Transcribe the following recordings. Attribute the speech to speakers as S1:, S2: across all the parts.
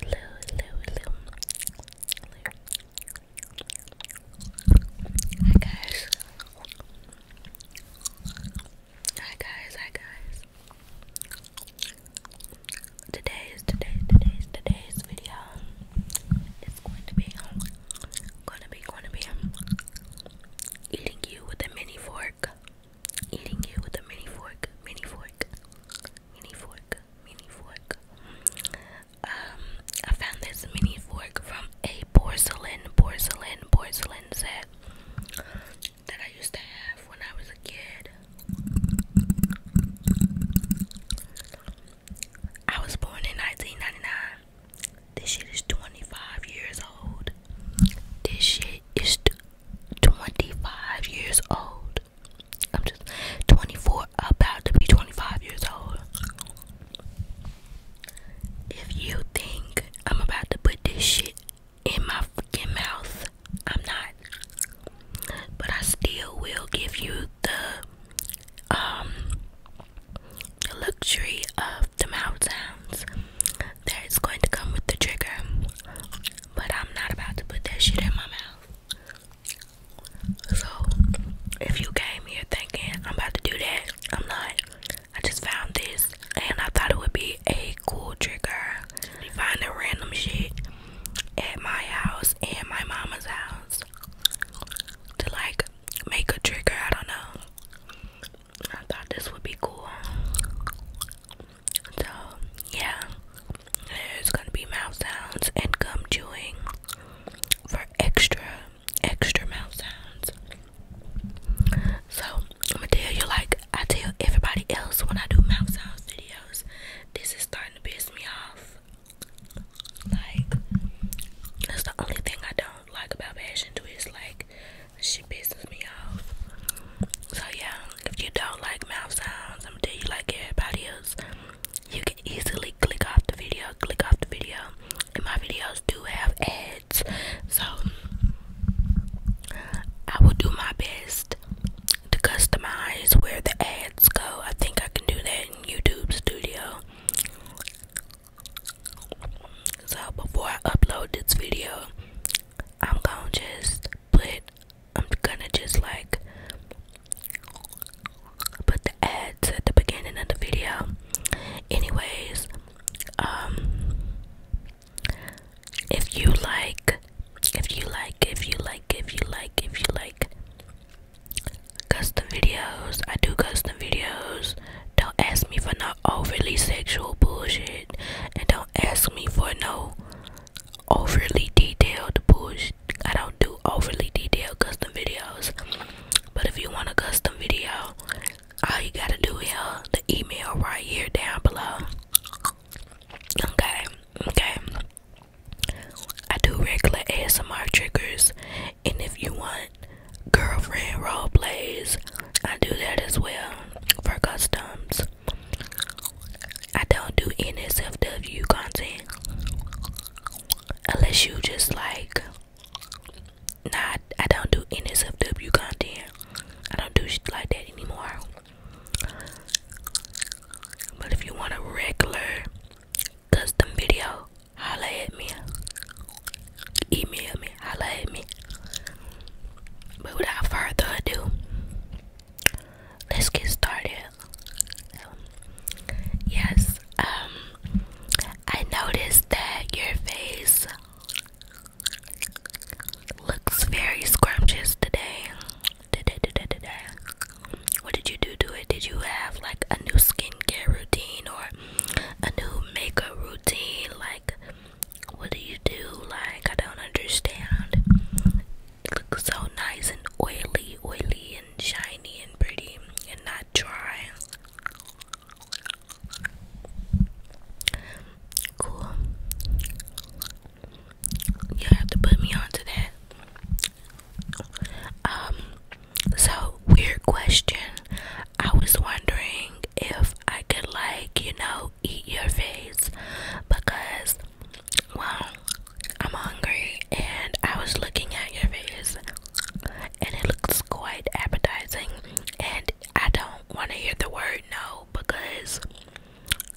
S1: Hello, hello, hello. Hi guys. Hi guys, hi guys. Today's today today's today's video is going to be um, gonna be gonna be um, eating you with a mini fork. Eating you with a mini fork, mini fork mini fork, mini fork. Um, I found this mini fork from a porcelain, porcelain, porcelain set that I used to have when I was a kid. I was born in 1999. This shit is 25 years old. This shit is 25 years old. I'm just 24, about to be 25 years old. If you think I'm about to put this shit in my freaking mouth, I'm not. But I still will give you um, the luxury of the mouth sounds that is going to come with the trigger. But I'm not about to put that shit in my mouth. So, if you came here thinking I'm about to do that, I'm not. I just found this and I thought it would be a cool trigger. Finding random shit at my house and my mama's house to like make a trigger. I don't know. I thought this would be cool. So yeah, there's gonna be mouth sounds and gum chewing for extra, extra mouth sounds. So I'm gonna tell you like I tell everybody else when I do mouth sounds videos. This is starting to piss me off. Like that's the only thing I don't like about Passion Twist. Like she pisses me off. So yeah, if you don't like mouth sounds, I'm gonna tell you like everybody else. You can easily click off the video, click off the video. And my videos do have ads. So I will do my best to customize where the ads go. I think I can do that in YouTube Studio. So before I upload this video, I'm gonna just put I'm gonna just like put the ads at the beginning of the video. Anyways, um if you like if you like if you like if you like if you like custom videos, I do custom videos. Don't ask me for no overly sexual bullshit and don't ask me for no overly detailed bullshit. I don't do overly detailed custom videos. But if you want a custom video, all you gotta do is uh, the email right here down below. Okay, okay. I do regular ASMR triggers, and if you want girlfriend role plays, I do that as well for customs. I don't do NSFW content unless you just like Nah, I don't do NSFW content. I don't do shit like that anymore. But if you want a regular custom video, holla at me. Email me, holla at me. But without further ado, let's get started. yes, um, I noticed that your face looks very scrumptious today. What did you do to it? Did you have like a new skincare routine or a new makeup routine? Like, what do you do? Like, I don't understand it looks so nice and oily, oily and shiny and pretty and not dry. Cool. You have to put me onto that. Um, so weird question. I was wondering if I could, like, you know, eat your face because, well, I'm hungry and I was looking at your face and it looks quite appetizing and I don't want to hear the word no because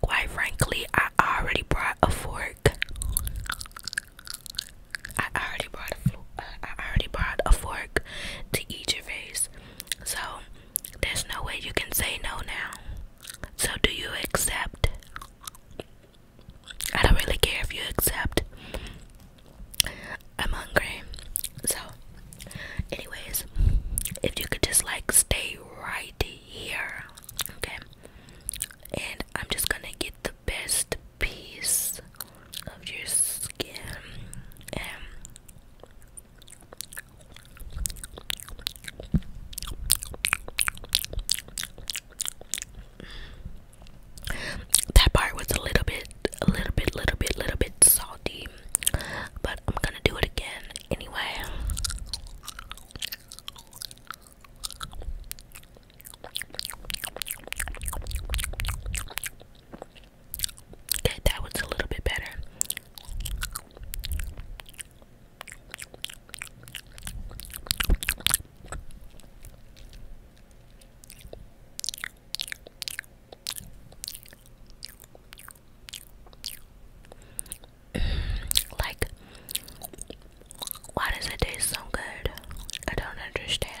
S1: quite frankly I already brought a fork. I already brought a uh, I already brought a fork to eat your face. So there's no way you can say no now. So do you accept? I don't really care if you accept. I'm hungry. So, anyways, if you could just like stay right here, okay? And I'm just gonna get the best piece of your skin. That part was a little bit, a little bit, little bit, little bit salty, but I'm gonna do it again anyway. Okay, that was a little bit better. like, why does it taste so good? I don't understand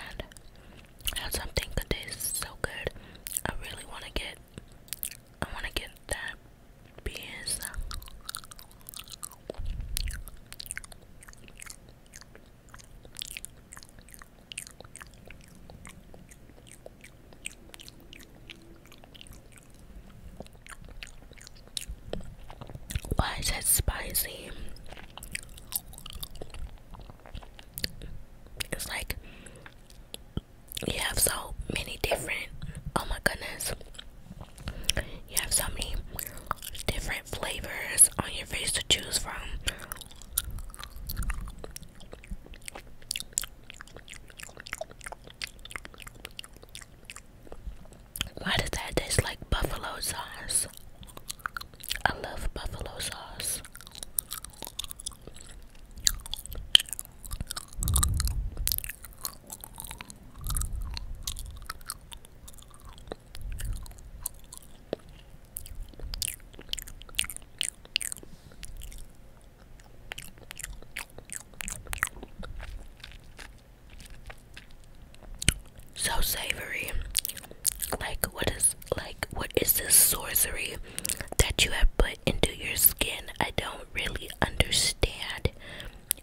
S1: how something could taste so good. I really want to get, I want to get that Beans. Why is it spicy? It's like you have so many different. Oh my goodness. You have so many different flavors on your face to choose from. Why does that taste like buffalo sauce? I love buffalo sauce. So savory. Like what is like what is this sorcery that you have put into your skin? I don't really understand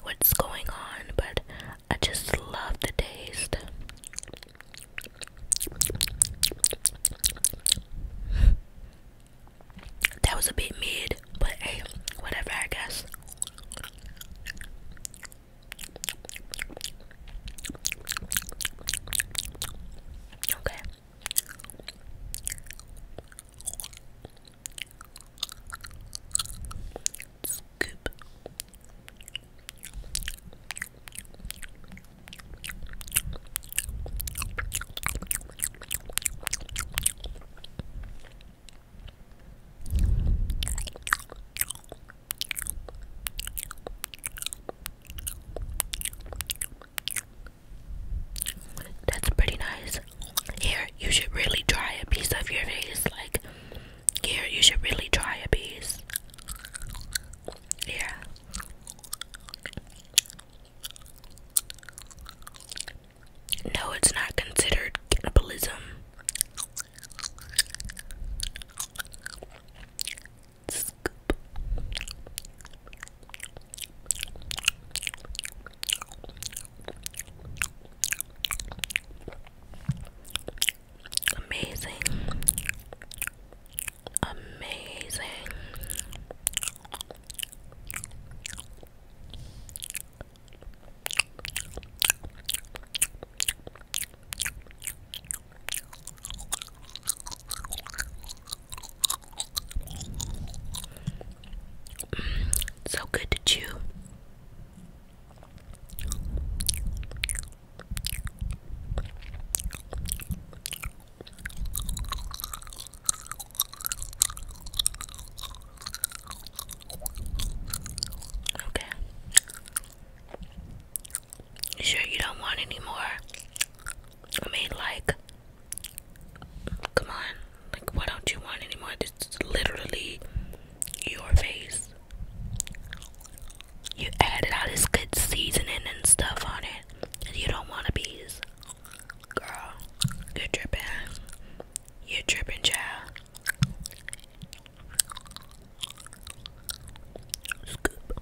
S1: what's going on, but I just love the taste. That was a bit mid, but hey, whatever, I guess. Okay. That's pretty nice here you should really try a piece of your face like here you should really try a piece yeah no it's not considered cannibalism Amazing. Amazing. Mm, so good to chew. Okay. You sure you don't want any more? I mean, like, come on. Like, why don't you want any more? literally your face. You added all this good seasoning and stuff on it, and you don't want to be girl. You're tripping. You're tripping, child. Scoop.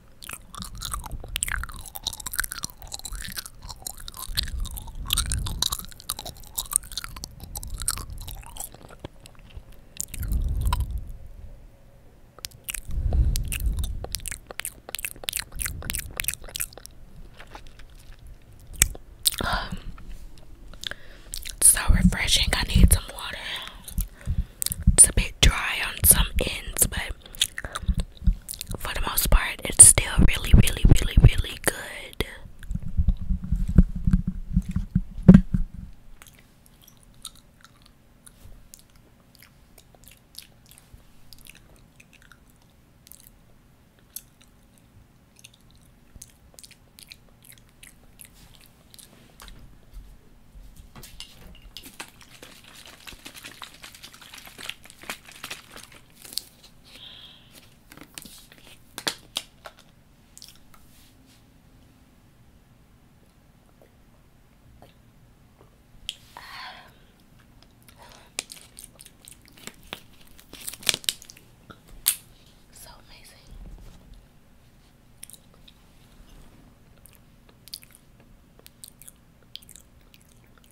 S1: it's um, so refreshing. I need some water. It's a bit dry on some ends, but for the most part, it's still really, really, really, really good. So amazing.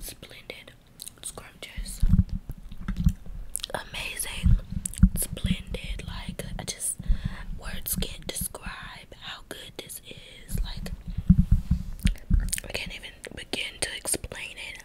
S1: Splendid, scrumptious, amazing, splendid. Like, I just, words can't describe how good this is. Like, I can't even begin to explain it.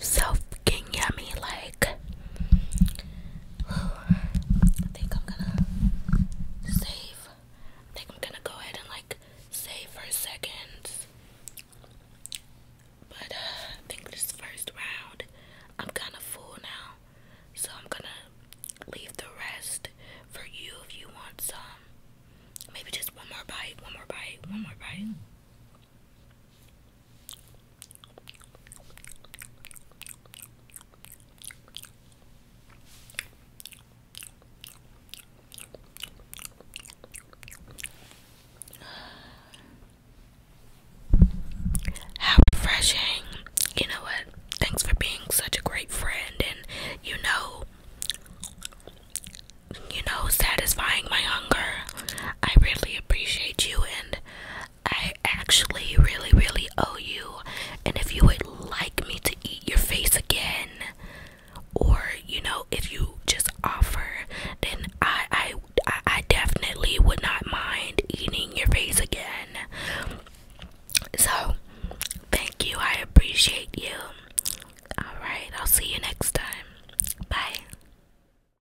S1: so fucking yummy. Like, I think I'm gonna save. I think I'm gonna go ahead and like save for seconds. But uh, I think this first round, I'm kind of full now, so I'm gonna leave the rest for you if you want some. Maybe just one more bite, one more bite, one more bite. How refreshing. You know what? Thanks for being such a great friend and you know you know satisfying my hunger. I really appreciate you and I actually really, really owe you. And if you would like me to eat your face again, or you know, if you just offer, then I, I, I, definitely would not mind eating your face again. So, thank you. I appreciate you. All right, I'll see you next time. Bye.